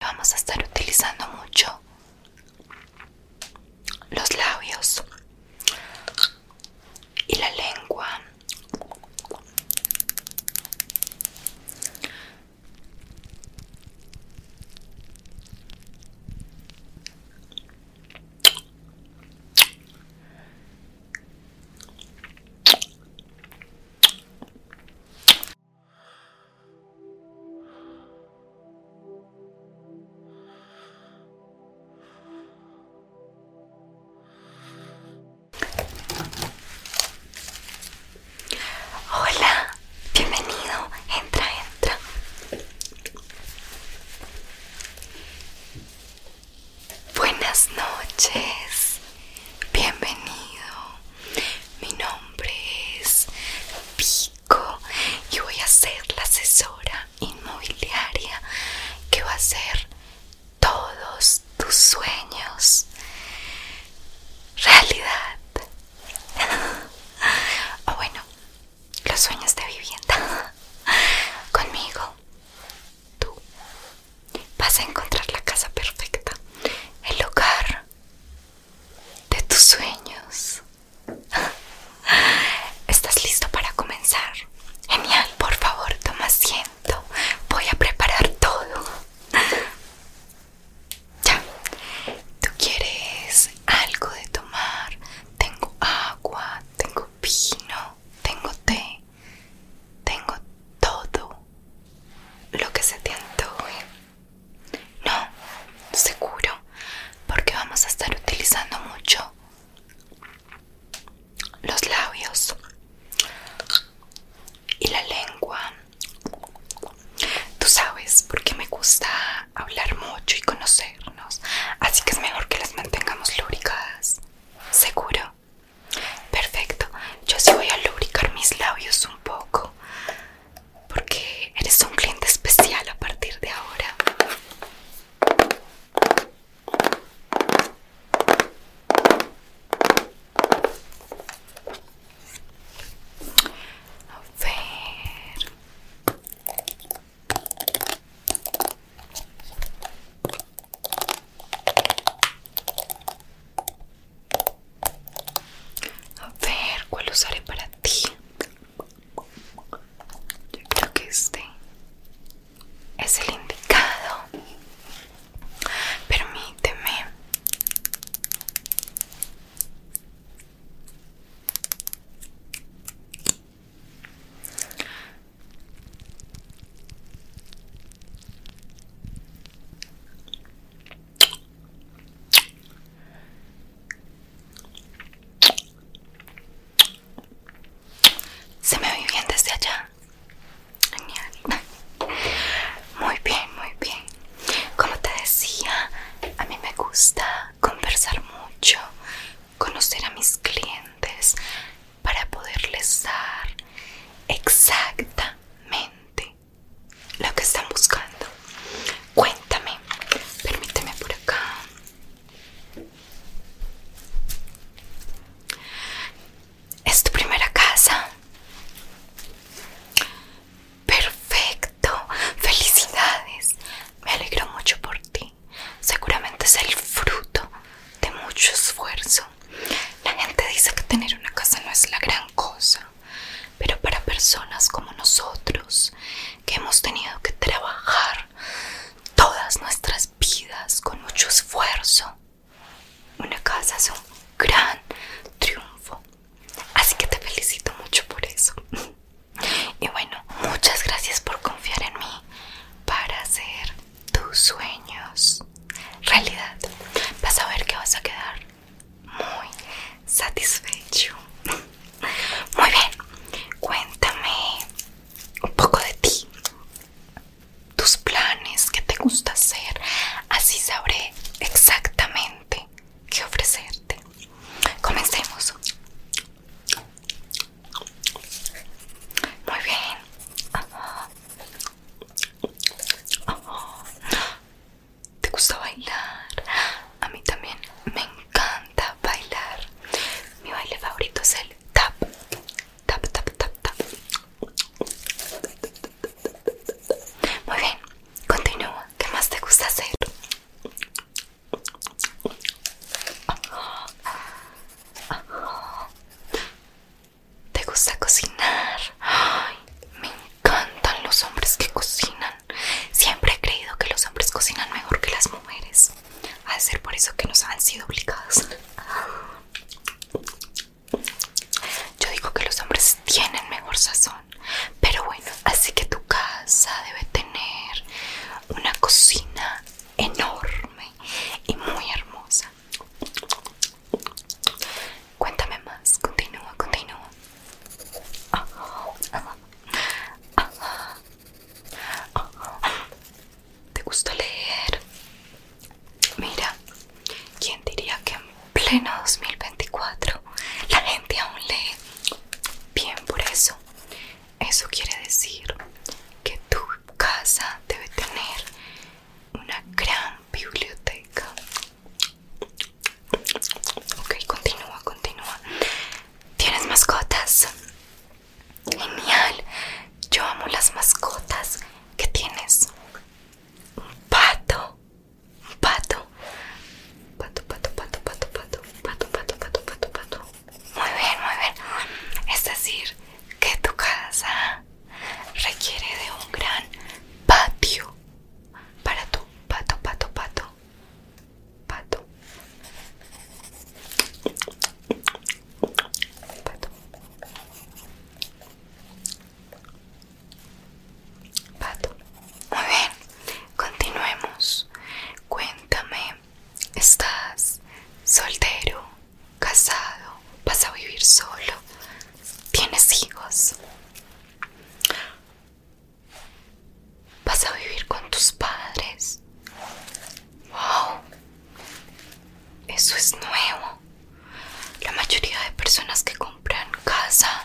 Vamos a estar utilizando mucho los labios y la lengua. Hola, bienvenido. Entra, entra. Buenas noches. Bienvenido. Mi nombre es Pico y voy a ser la asesora inmobiliaria que va a hacer todos tus sueños realidad. o bueno, los sueños de vivienda. Conmigo, tú vas a encontrar la casa perfecta, el lugar de tus sueños. ¿Estás listo para comenzar? Genial, por favor, toma asiento. Voy a preparar todo. Ya. ¿Tú quieres algo de tomar? Tengo agua, tengo vino, tengo té, tengo todo lo que se te hoy, No, seguro, porque vamos a estar utilizando mucho los labios y la lengua. Tú sabes porque me gusta hablar mucho y conocernos, así que es mejor que las mantengamos lubricadas. Seguro. Perfecto, yo sí voy a lubricar mis labios un poco porque eres un cliente especial a partir de ahora. A a ver, ¿cuál usaré para ti? Yo creo que este es el indicado. Permíteme. Se me oye bien desde allá. Muy bien, muy bien. Como te decía, a mí me gusta conversar mucho, conocer a mis clientes para poderles dar exacta lo que están buscando. Cuéntame, permíteme por acá. ¿Es tu primera casa? Perfecto, felicidades. Me alegro mucho por ti. Seguramente es el fruto de mucho esfuerzo la gente dice que tener una casa no es la gran cosa, pero para personas como nosotros, que hemos tenido que trabajar todas nuestras vidas con mucho esfuerzo, una casa es un gran triunfo. Así que te felicito mucho por eso. Y bueno, muchas gracias por confiar en mí para hacer tus sueños realidad. Vas a ver que vas a quedar muy satisfecho. Muy bien, cuéntame un poco de ti, tus planes, que te gusta hacer. Así sabré exactamente qué ofrecerte. Comencemos. Muy bien. Oh, ¿Te gusta bailar? A mí también me encanta bailar. Mi baile favorito es el tap. Tap, tap, tap, tap. Muy bien, continúa. ¿Qué más te gusta hacer? ¿Te gusta cocinar? me encantan los hombres que cocinan. Siempre he creído que los hombres cocinan mejor que las mujeres. Ha de ser por eso que nos han sido obligados. Yo digo que los hombres tienen mejor sazón. Pero bueno, así que tu casa debe tener una cocina enorme y muy hermosa. Cuéntame más, continúa, continúa. ¿Te gusta leer? Mira, ¿quién diría que en pleno 2024 la gente aún lee? Bien por eso. Eso quiere decir que tu casa debe tener una gran biblioteca. Ok, continúa, continúa. ¿Tienes mascotas? Genial. Yo amo las mascotas. ¿Qué tienes? Un pato. Un pato. Pato, pato, pato, pato, pato, pato, pato, pato, pato, pato. Muy bien, muy bien. Es decir, que tu casa requiere de un gran patio para tu pato, pato, pato, pato, pato, pato. Muy bien, continuemos. Cuéntame ¿Estás soltero, casado? ¿Vas a vivir solo? ¿Tienes hijos? ¿Vas a vivir con tus padres? ¡Wow! Eso es nuevo. La mayoría de personas que compran casa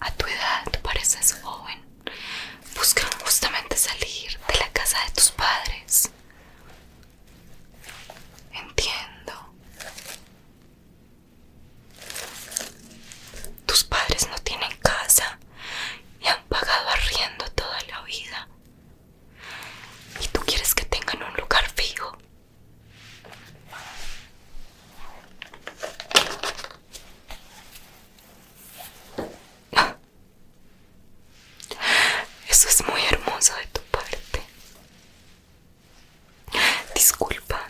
a tu edad, pareces joven, buscan justamente salir de la casa de tus padres. Entiendo. Tus padres no tienen casa y han pagado arriendo toda la vida. ¿Y tú quieres que tengan un lugar fijo? Eso es muy hermoso de tu parte. Disculpa,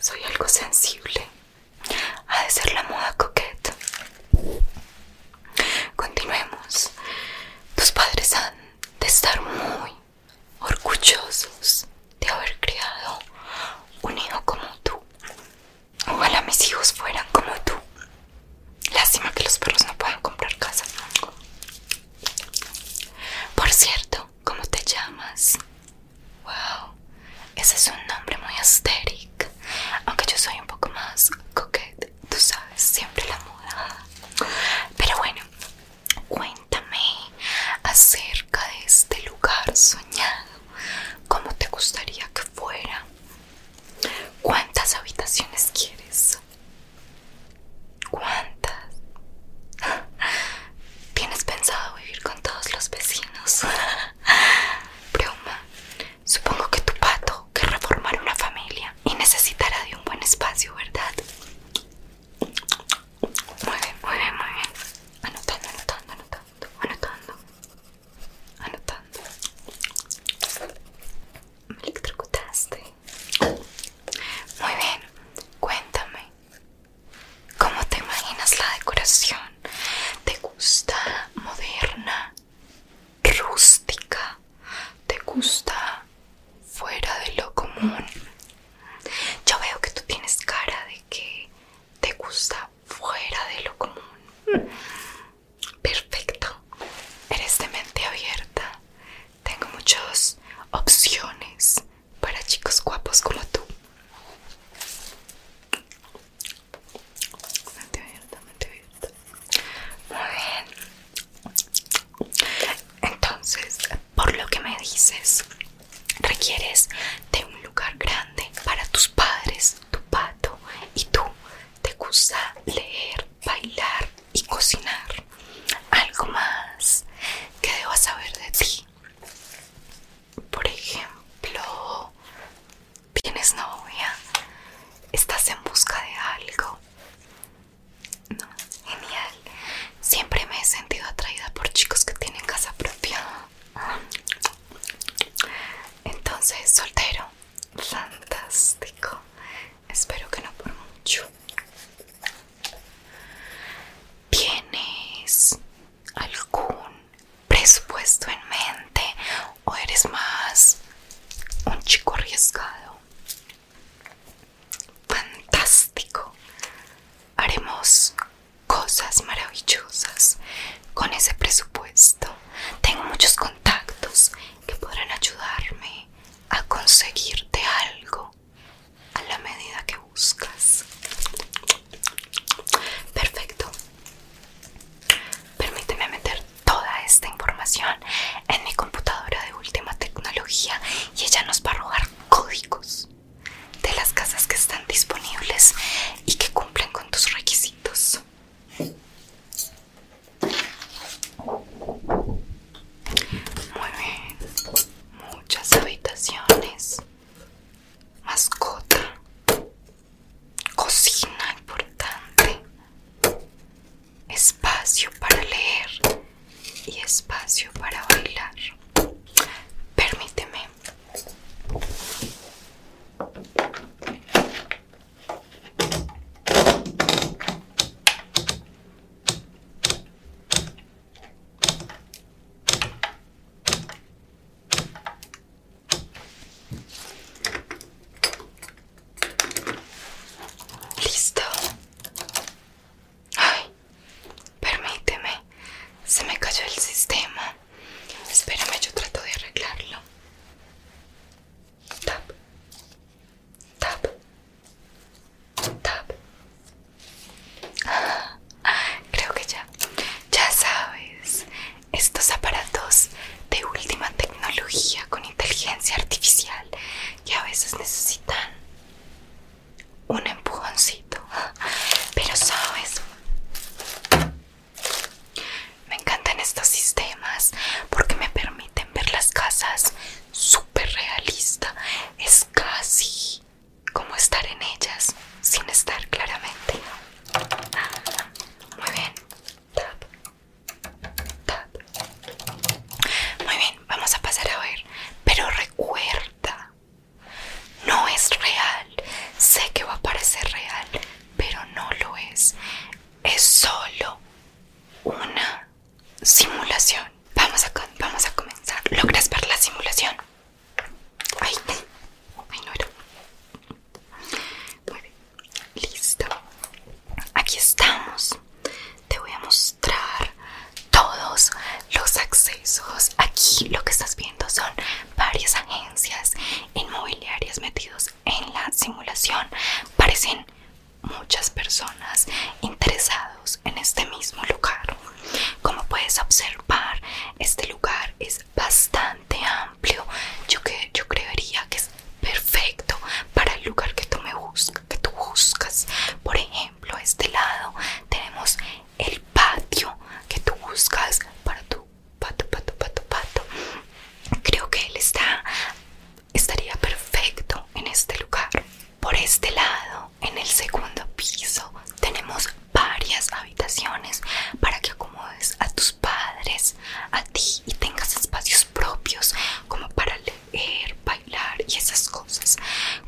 soy algo sensible. Ha de ser la moda coqueta. Continuemos. Tus padres han de estar muy orgullosos de haber criado un hijo como tú. Ojalá mis hijos fueran como tú. Lástima que los perros no puedan comprar casa. Por cierto, ¿cómo te llamas? Wow, ese es un nombre muy asteric. Aunque yo soy un poco más coquete, tú sabes, siempre la moda. Pero bueno, cuéntame acerca de este lugar soñado. ¿Cómo te gustaría que fuera? ¿Cuántas habitaciones quieres? ¿Cuántas? ¿Tienes pensado vivir con todos los vecinos? Broma. Supongo que tu pato querrá formar una familia y necesitará de un buen espacio, ¿verdad? Muy bien, muy bien, muy bien. Anotando, anotando, anotando, anotando anotando. Me electrocutaste. Muy bien, cuéntame. ¿Cómo te imaginas la decoración? ¿Te gusta moderna? ¿Rústica? ¿Te gusta fuera de lo común? Yo veo que tú tienes cara de que te gusta fuera de lo común. Perfecto. Eres de mente abierta. Tengo muchas opciones para chicos guapos como tú. Mente abierta, mente abierta. Muy bien. Entonces, por lo que me dices, requieres de un lugar grande para tus padres, tu pato y tú ¿Te gusta leer, bailar y cocinar? ¿Algo más que debo saber de ti? Por ejemplo, ¿tienes novia? ¿Estás en busca de algo? No, genial. Siempre me he sentido atraída por chicos que tienen casa propia. Entonces, soltero. Fantástico. Espero que no por mucho. ¿Tienes algún presupuesto en mente o eres más un chico arriesgado? Fantástico. Haremos cosas maravillosas con ese presupuesto. Tengo muchos contactos que podrán ayudarme a conseguirte algo a la medida que buscas. Perfecto. Permíteme meter toda esta información en mi computadora de última tecnología y ella nos va a arrojar códigos de las casas que están disponibles y que cumplen con tus requisitos. Muy bien. Muchas habitaciones. Mascota. Cocina importante. Espacio para leer y espacio para bailar. Permíteme. Listo. Ay, permíteme. Se me cayó el sistema. Espérame, yo trato de arreglarlo. Tap. Tap. Tap. creo que ya. Ya sabes. Estos aparatos de última tecnología con inteligencia artificial que a veces necesitan un empujoncito. Pero sabes, me encantan estos sistemas porque me permiten ver las casas súper realista. Es casi como estar en ellas sin estar claramente. Ah, muy bien. Muy bien, vamos a pasar a ver. Pero recuerda no es real. Sé que va a parecer real, pero no lo es. Es solo una simulación. Vamos a, vamos a comenzar. ¿Logras ver la simulación? Ahí, Muy bien, listo. Aquí estamos. Te voy a mostrar todos los accesos. Aquí lo que estás viendo son varias agencias inmobiliarias metidos en la simulación. Parecen muchas personas interesados en este mismo lugar. Como puedes observar, este lugar es bastante amplio. Yo, que, yo creería que es perfecto para el lugar que tú, me que tú buscas. Por ejemplo, este lado tenemos el patio que tú buscas para tu pato, pato, pato, pato. Creo que él está, estaría perfecto en este lugar. Por este lado, en el segundo piso, tenemos varias habitaciones para que acomodes a tus padres, a ti y tengas espacios propios como para leer, bailar y esas cosas.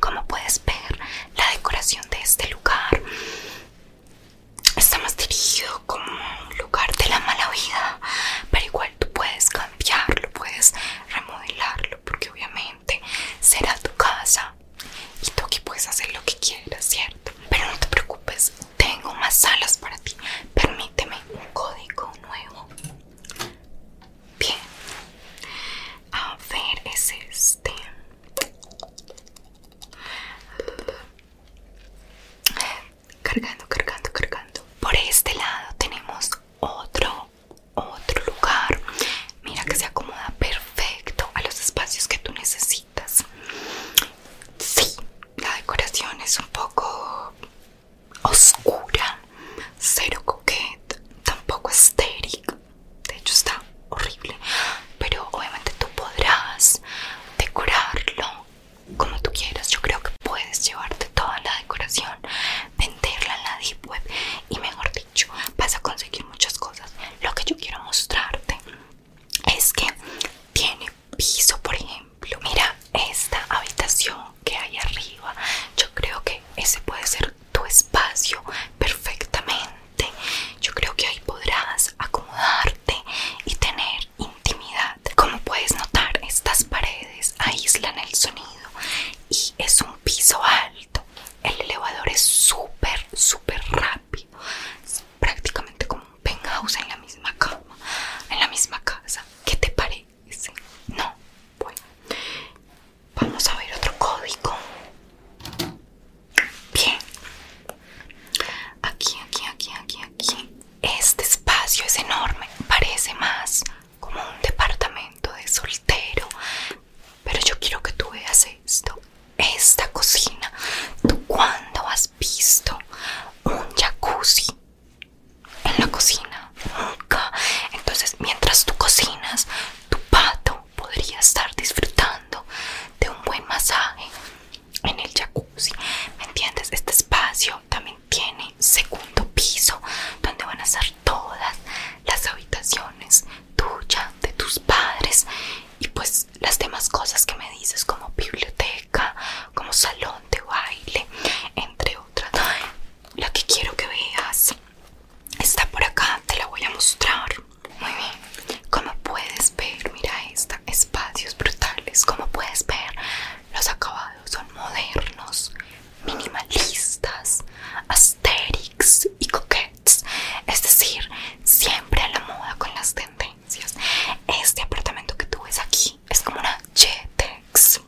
Como puedes ver, la decoración de este lugar está más dirigido como un lugar de la mala vida, pero igual tú puedes cambiarlo, puedes remodelarlo, porque obviamente será tu casa y tú aquí puedes hacer lo que quieras, ¿cierto? Pero no te preocupes, tengo más salas para ti. Permíteme un código nuevo. Bien, a ver, es este. Cargando, cargando, cargando. Por este lado tenemos otro, otro lugar. Mira que se acomoda perfecto a los espacios que tú necesitas. Sí, la decoración es un poco oscura, cero coqueta, tampoco estéril, de hecho está horrible, pero obviamente tú podrás decorarlo como tú quieras. Yo creo que puedes llevarte toda la decoración, venderla en la deep web y mejor dicho, vas a conseguir muchas cosas. Lo que yo quiero mostrarte es que tiene piso, por ejemplo. Mira esta habitación que hay arriba. Yo creo que ese puede ser tu espacio perfectamente. Yo creo que ahí podrás acomodarte y tener intimidad. Como puedes notar, estas paredes aíslan el sonido y es un piso alto. El elevador es súper, súper rápido. Es prácticamente como un penthouse en la misma cama, en la misma casa. ¿Qué te parece? No, bueno. Vamos a ver otro código. Bien. Aquí, aquí, aquí, aquí, aquí. Este espacio es enorme. Parece más como un departamento de soltero. Pero yo quiero que tú veas esto. Esta cocina. ¿Tú cuándo has visto un jacuzzi en la cocina? Nunca. Entonces, mientras tú cocinas, tu pato podría estar disfrutando de un buen masaje en el jacuzzi. ¿Me entiendes? Este espacio también tiene segundo piso donde van a estar todas las habitaciones tuyas, de tus padres y pues las demás cosas que me dices como biblioteca, como salón de baile, entre otras. Lo que quiero que veas Está por acá, te la voy a mostrar. Muy bien. Como puedes ver, mira esta, espacios brutales. Como puedes ver, los acabados son modernos, minimalistas, asterix y coquettes. Es decir, siempre a la moda con las tendencias. Este apartamento que tú ves aquí es como una Jetex.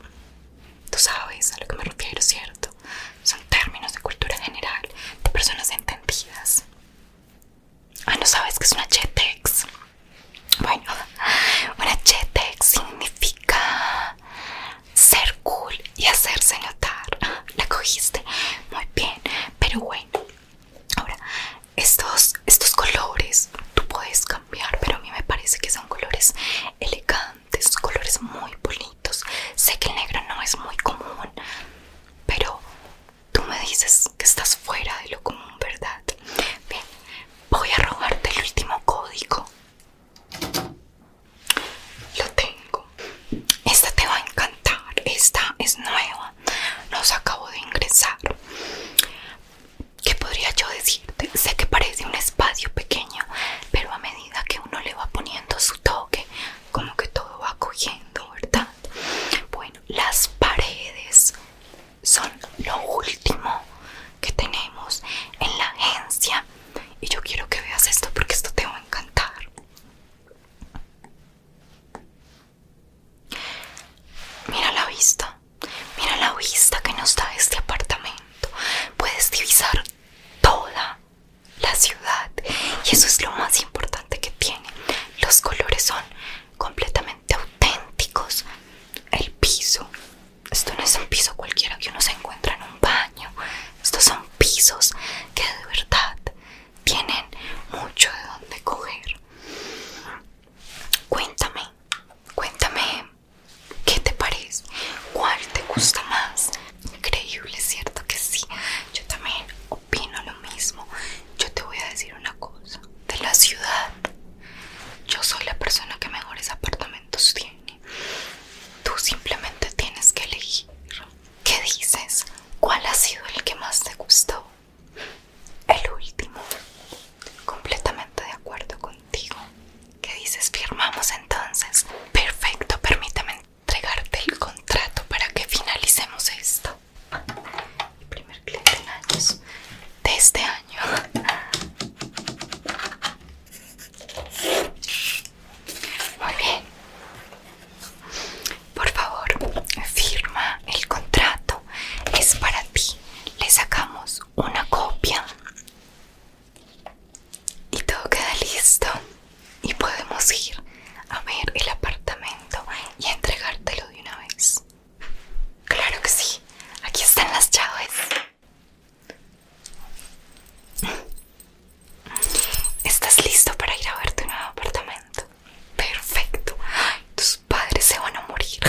Tú sabes a lo que me refiero, ¿cierto? Son términos de cultura general, de personas entendidas. Ah, no sabes que es una chetex. Bueno, una chetex significa ser cool y hacerse notar. la cogiste muy bien, pero bueno, ahora estos, estos colores tú puedes cambiar, pero a mí me parece que son colores elegantes esos colores muy bonitos. Sé que el negro no es muy común, pero tú me dices que estás fuera de lo común, ¿verdad? Bien, voy a robarte el último código. Lo tengo. Esta te va a encantar. Esta es nueva. Nos acabo de ingresar. ¿Qué podría yo decirte? Sé que parece un espacio pequeño, pero a medida que uno le va poniendo su toque, como que todo va cogiendo, ¿verdad? Bueno, las paredes son lo último que tenemos en la agencia. Y yo quiero que veas esto porque esto te va a encantar. Mira la vista, mira la vista que nos da este apartamento. Puedes divisar toda la ciudad y eso es lo más importante que tiene los colores son completamente auténticos el piso esto no es un piso cualquiera que uno se encuentra en un baño estos son pisos que de verdad tienen mucho de donde coger cuéntame cuéntame ¿Qué te parece? ¿Cuál te gusta más? Increíble, ¿cierto que sí? Yo también opino lo mismo. Yo te voy a decir una cosa. De la ciudad, yo soy la persona que mejores apartamentos tiene. Tú simplemente tienes que elegir. ¿Qué dices? ¿Cuál ha sido el que más te gustó? El último. Completamente de acuerdo contigo. ¿Qué dices? ¿Firmamos entonces? Perfecto, permítame entregarte el contrato para que finalicemos esto. El primer cliente en años de este año. Muy bien. Por favor, firma el contrato. Es para ti. Le sacamos una copia y todo queda listo y podemos ir a ver el apartamento y entregártelo de una vez. Claro que sí, aquí están las llaves. ¿Estás listo para ir a ver tu nuevo apartamento? Perfecto. tus padres se van a morir.